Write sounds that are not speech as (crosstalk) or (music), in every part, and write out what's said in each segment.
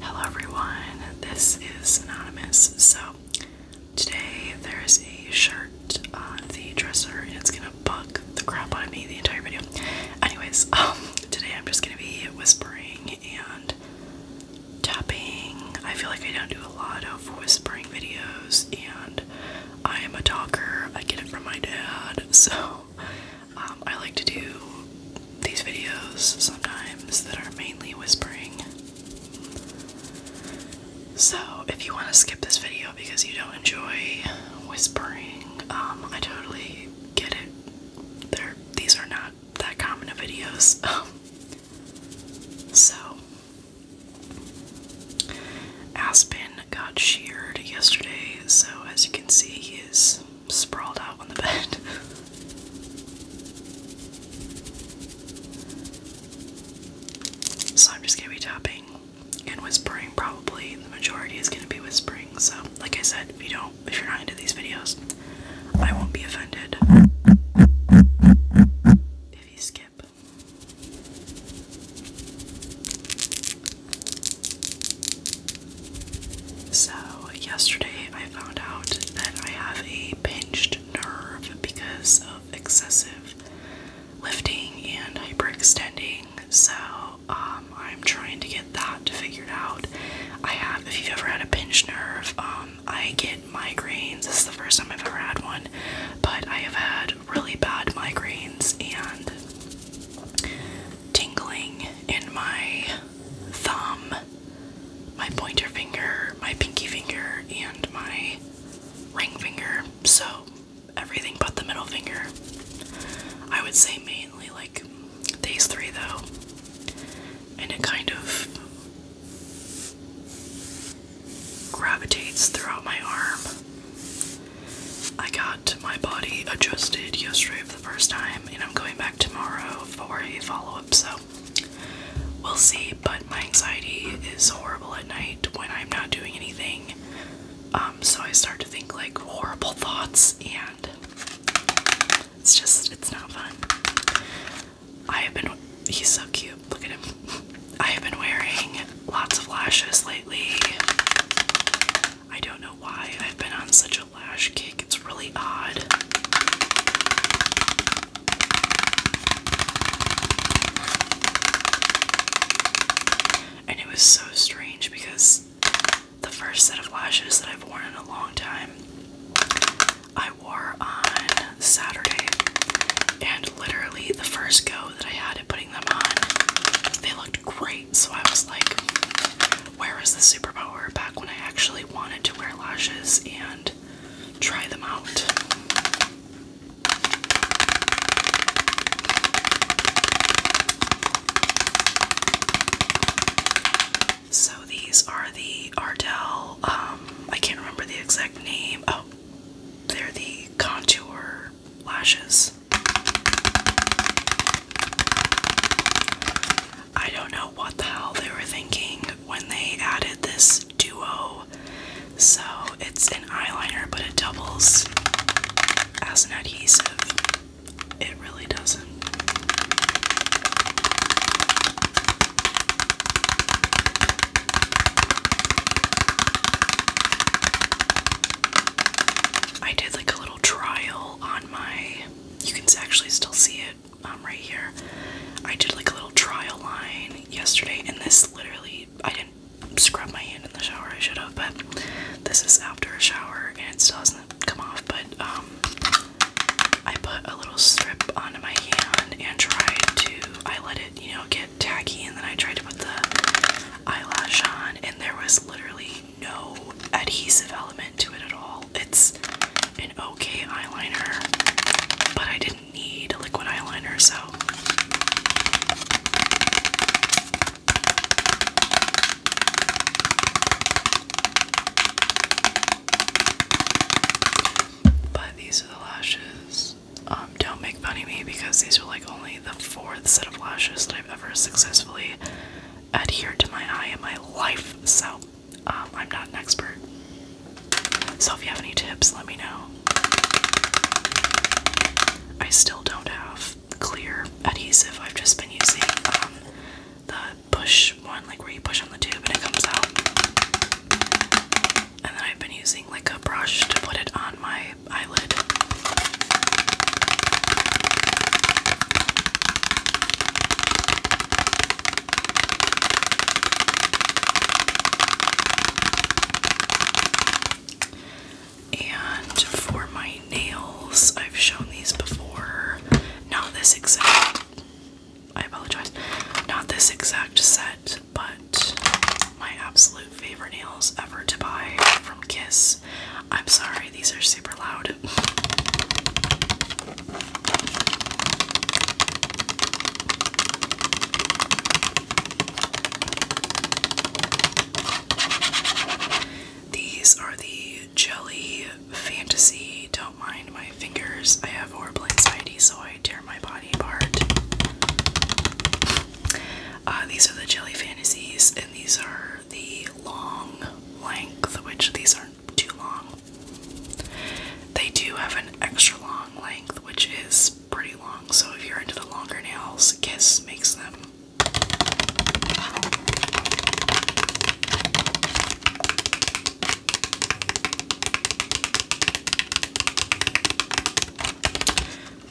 Hello everyone, this is Anonymous. So today there's a shirt on the dresser and it's gonna bug the crap out of me the entire video. Anyways, (laughs) um, today I'm just gonna be whispering and tapping. I feel like I don't do a lot of whispering videos, and I am a talker. I get it from my dad, (laughs) so um, I like to do these videos sometimes that are mainly whispering. So, if you want to skip this video because you don't enjoy whispering, um, I totally get it. They're, these are not that common of videos. (laughs) Um, so, Aspen got sheared yesterday, so as you can see, he is sprawled out on the (laughs) bed. so, I'm just gonna be tapping and whispering, probably. The majority is gonna be whispering, so, like I said, if you don't if you're not into these videos, I won't be offended if you skip. So, yesterday I found out that I have a pinched nerve because of excessive lifting and hyperextending. So, um, um, I'm trying to get that to figured out. I have, if you've ever had a pinched nerve, um, I get migraines. This is the first time I've ever had one, but I have had really bad migraines and tingling in my thumb, my pointer finger, my pinky finger, and my ring finger. So everything but the middle finger. I would say mainly like these three, though. And it kind of gravitates throughout my arm. I got my body adjusted yesterday for the first time, and I'm going back tomorrow for a follow up, so we'll see. But my anxiety is horrible at night when I'm not doing anything. Um, so I start to think like horrible (laughs) thoughts, and it's just, it's not fun. I have been, he's so cute. Look at him. (laughs) I have been wearing lots of lashes lately. I don't know why I've been on such a lash kick. It's really odd. And it was so strange because the first set of lashes that I've worn in a long time. I wore on Saturday, and literally the first go that I had at putting them on, they looked great. So I was like, where is the superpower back when I actually wanted to wear lashes and try them out? So these are the Ardell, um, I can't remember the exact name. Oh, they're the contour lashes. I don't know what the hell they were thinking when they added this duo. So it's an eyeliner, but it doubles as an adhesive. It really doesn't. I did like a little trial on my. You can actually still see it um, right here. I did like a little trial line yesterday, and this literally. I didn't scrub my hand in the shower, I should have, but this is after a shower and it still hasn't come off, but um, I put a little strip onto my hand and tried to, I let it, you know, get tacky, and then I tried to put the eyelash on, and there was literally no adhesive element to it at all. It's an okay eyeliner, but I didn't need a liquid eyeliner, so but these are the lashes. Um, don't make fun of me because these are like only the fourth set of lashes that I've ever successfully adhered to my eye in my life. So um, I'm not an expert. So if you have any tips, let me know. I still don't have clear adhesive. I've just been using um, the push one, like where you push on the tube and it comes out. And then I've been using like a brush to put it on my eyelid. And for my nails. I've shown these before. Not this exact. I apologize. Not this exact set, but my absolute favorite nails ever to buy from Kiss. I'm sorry, these are super loud. These are the Jelly fantasy. Don't mind my fingers. I have horrible anxiety, so I tear my body apart. Uh, these are the jelly fantasies, and these are the long length, which these aren't too long. They do have an extra long length, which is pretty long, so if you're into the longer nails, Kiss makes them.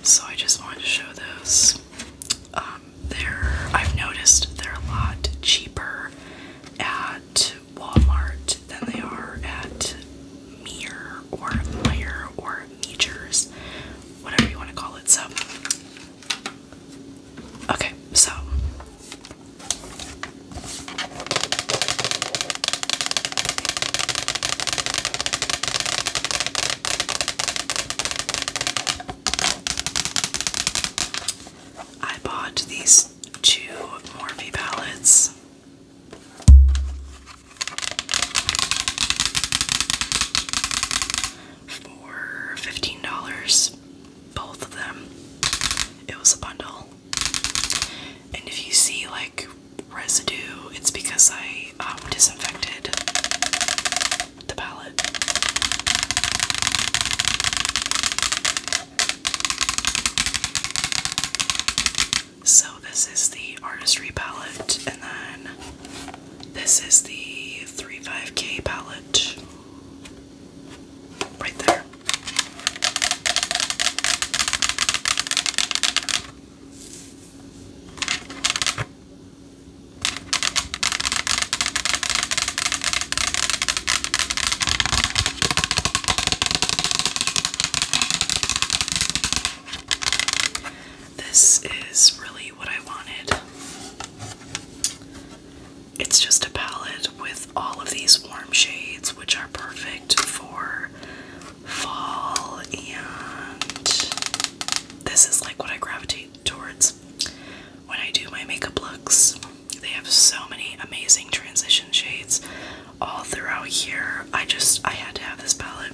So I just wanted to show those. Um, they're I've noticed they're a lot cheaper at Walmart than they are at Mere or Meyer or Meachers, whatever you want to call it. So Okay, so I bought these two Morphe palettes for $15, both of them. It was a bundle. And if you see like residue, it's because I um, disinfected the palette. So, this is the Artistry palette, and then this is the Three Five k palette. Right there. This is really what I wanted. It's just a palette with all of these warm shades, which are perfect for fall, and this is like what I gravitate towards when I do my makeup looks. They have so many amazing transition shades all throughout here. I just, I had to have this palette.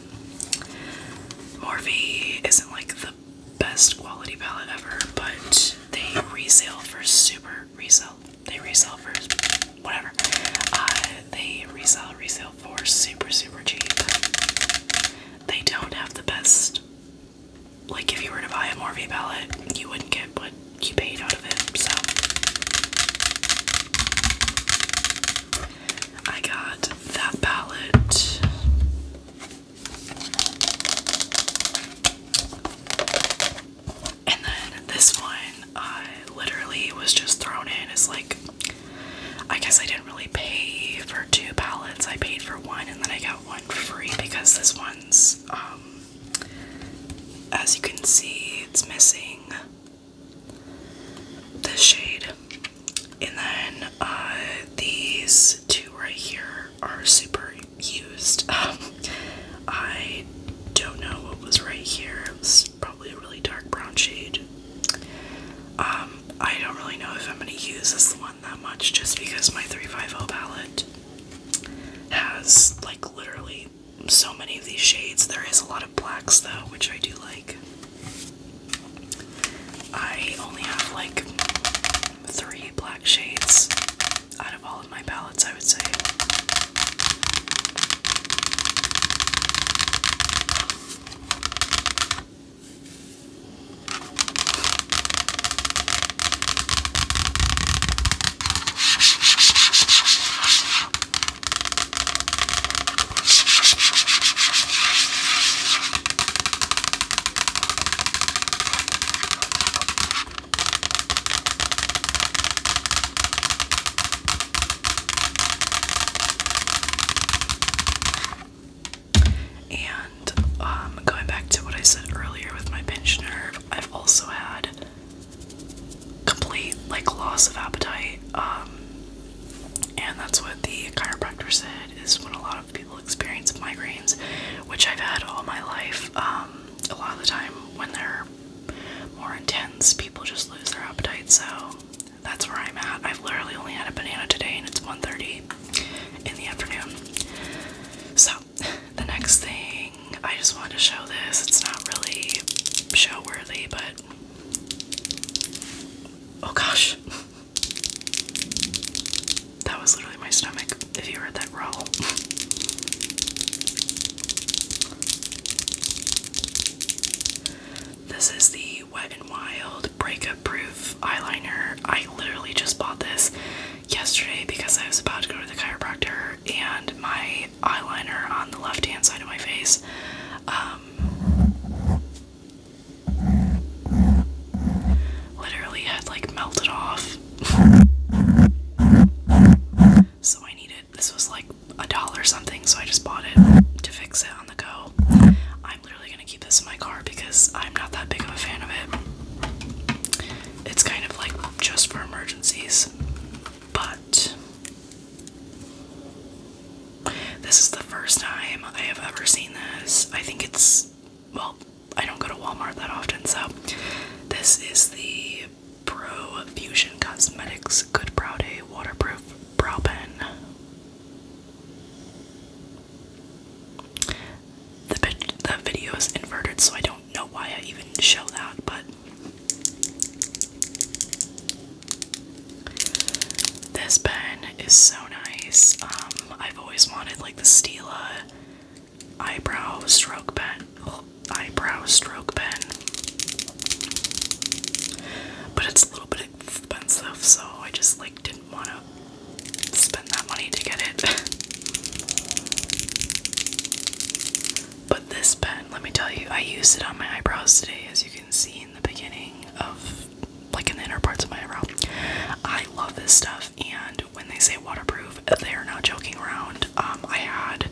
Morphe isn't like the best quality palette ever, but they resell for super resell. They resell for whatever. Uh, they resell resell for super super cheap. They don't have the best. Like if you were to buy a Morphe palette, you wouldn't get what you paid out of it. So I got that palette. And then this one, I literally was just thrown in as like, I guess I didn't really pay for two palettes. I paid for one and then I got one free because this one's, um, as you can see, it's missing the shade. And then uh, these two right here are super used. (laughs) Um, I don't know what was right here. It was probably a really dark brown shade. Um, I don't really know if I'm going to use this one that much just because my 350 palette has like literally so many of these shades. There is a lot of blacks though, which I do like. I only have like three black shades out of all of my palettes, I would say. And um, going back to what I said earlier with my pinched nerve, I've also had complete like loss of appetite. Um, and that's what the chiropractor said is when a lot of people people experience migraines, which I've had all my life. Um, a lot of the time when they're more intense, people just lose their appetite. So that's where I'm at. I've literally only had a banana today, and it's 1:30 in the afternoon. So (laughs) the next thing I just want to show this. It's not really show worthy, but oh gosh. (laughs) That was literally my stomach, if you heard that roll. this is the Wet n Wild Breakup Proof Eyeliner. I literally just bought this yesterday because I was about to go to the chiropractor and my eyeliner on the left hand side of my face. Um, literally had like melted off. so I needed, this was like a dollar something, so I just bought it to fix it on the go. I'm literally gonna keep this in my car because I'm not that big of a fan of it. It's kind of like just for emergencies, but this is the first time I have ever seen this. I think it's well, I don't go to Walmart that often, so this is the Pro Fusion Cosmetics Good Brow Day Waterproof Brow Pen. The, video is inverted, so I don't know why I even show that, but this pen is so nice. Um, I've always wanted like the Stila eyebrow stroke pen, (gasps) eyebrow stroke pen, but it's a little bit expensive, so I just like didn't want to spend that money to get it. (laughs) but this pen, let me tell you, I used it on my eyebrows today, as you can see in the beginning of, like in the inner parts of my eyebrow. I love this stuff, and when they say waterproof, they are not joking around. Um, I had,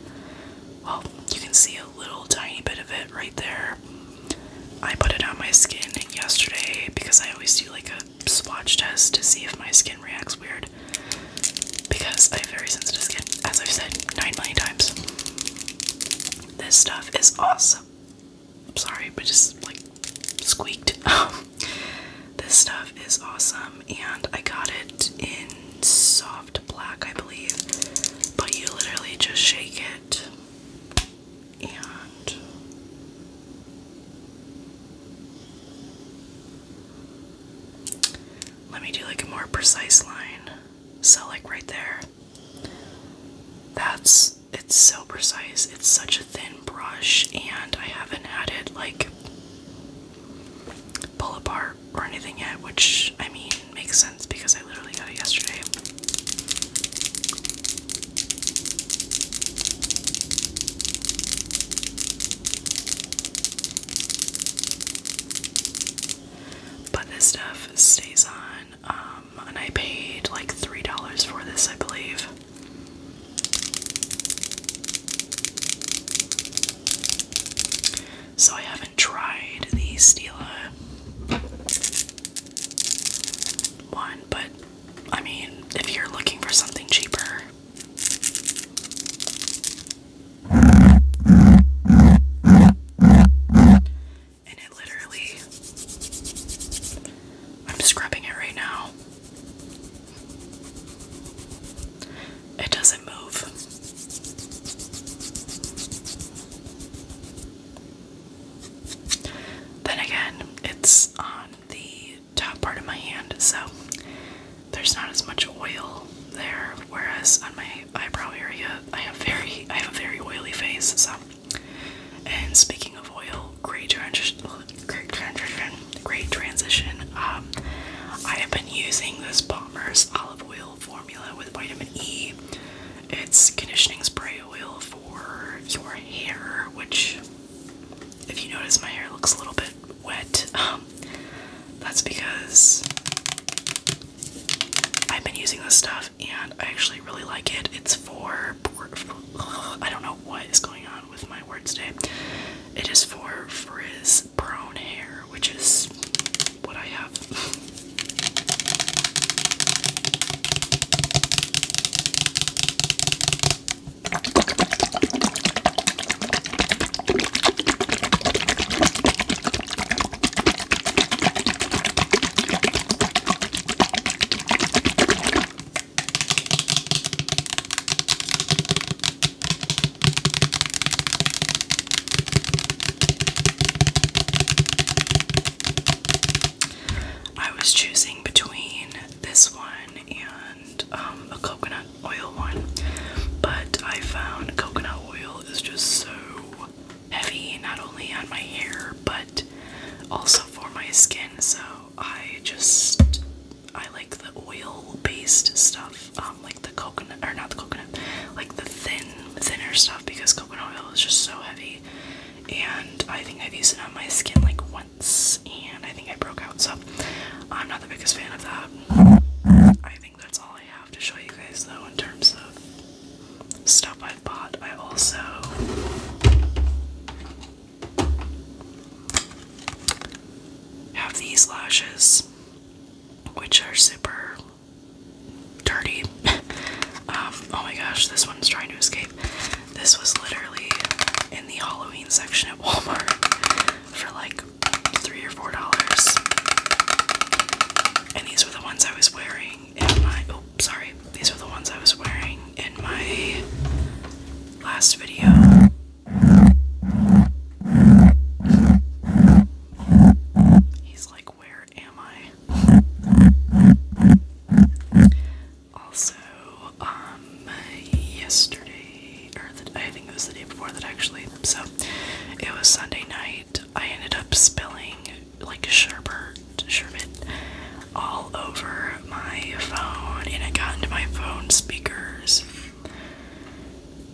well, you can see a little tiny bit of it right there. I put it on my skin yesterday because I always do like a swatch test to see if my skin reacts weird because I have very sensitive skin, as I've said 9 million times. This stuff is awesome. I'm sorry, but just like squeaked. (laughs) This stuff is awesome, and I got it in soft black, I believe. But you literally just shake it, and let me do like a more precise line. So, like right there. That's it's so precise. It's such a thin brush and I haven't had it like pull apart or anything yet, which I mean makes sense because I literally got it yesterday. But this stuff stays on, um, and I paid like $3 for this, I believe. So I haven't tried the Stila one, but I mean, if you're looking for something cheaper. And it literally, I'm scrubbing it right now. It doesn't move. Then again, it's on the top part of my hand, so there's not as much oil there. Whereas on my eyebrow area, I have very, I have a very oily face. So, and speaking of oil, great transition. Great transition. Great transition. Um, I have been using this Palmer's olive oil formula with vitamin E. It's conditioning spray oil for your hair, which, if you notice, my hair looks a little bit wet. Um, that's because I've been using this stuff and I actually really like it. It's for. I don't know what is going on with my words today. It is for frizz brown hair, which is what I have. I was choosing between this one and um, a coconut oil one, but I found coconut oil is just so heavy, not only on my hair, but also for my skin, so I just I like the oil-based stuff, um, like the coconut, or not the coconut, like the thin, thinner stuff because coconut oil is just so heavy. And I think I've used it on my skin like once, and I think I broke out. So I'm not the biggest fan of that. I think that's all I have to show you guys though in terms of stuff I've bought. I also have these lashes, which are super dirty. (laughs) Um, oh my gosh, this one's trying to escape. This was literally in the Halloween section at (laughs) Walmart for like three or four dollars. And these were the ones I was wearing in my oh sorry, these were the ones I was wearing in my last video. He's like, Where am I? Also, um, yesterday, or the, I think it was the day before that actually, so it was Sunday night. I ended up spilling like a sherbert, sherbet all over my phone and it got into my phone speakers.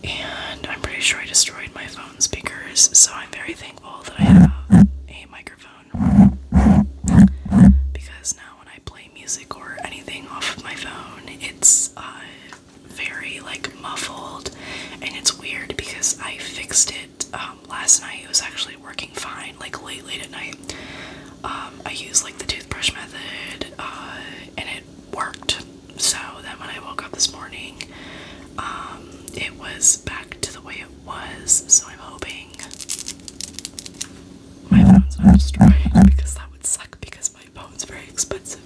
And I'm pretty sure I destroyed my phone speakers, so I'm very thankful that I have a microphone. Because now when I play music or anything off of my phone, it's uh, very like muffled and it's weird because I fixed it um, last night. It was actually working fine, like late, late at night. Um, I used like the toothbrush method, uh, and it worked. So that when I woke up this morning, um, it was back to the way it was. So I'm hoping my phone's not destroyed because that would suck because my phone's very expensive.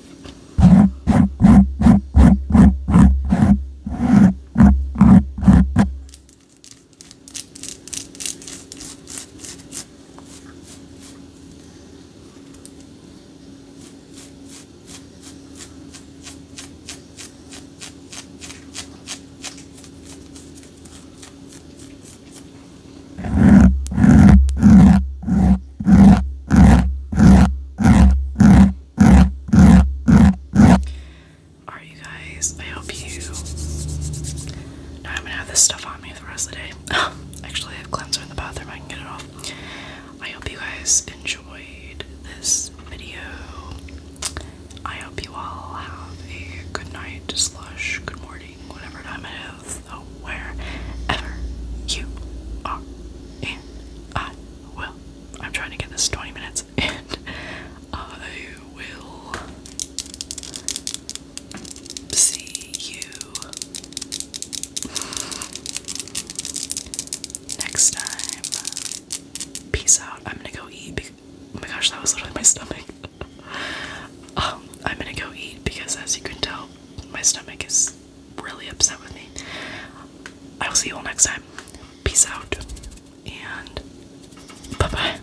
Alright you guys, I hope you now I'm gonna have this stuff on the rest of the day. (laughs) Actually, I have cleanser in the bathroom. I can get it off. I hope you guys enjoyed this video. I hope you all have a good night, slush, good morning, whatever time it is, where ever you are. I will. I'm trying to get this 20 minutes, and (laughs) I will see you next time. Peace out. I'm gonna go eat. Oh my gosh, that was literally my stomach. (laughs) um, I'm gonna go eat because, as you can tell, my stomach is really upset with me. I will see you all next time. Peace out and bye bye.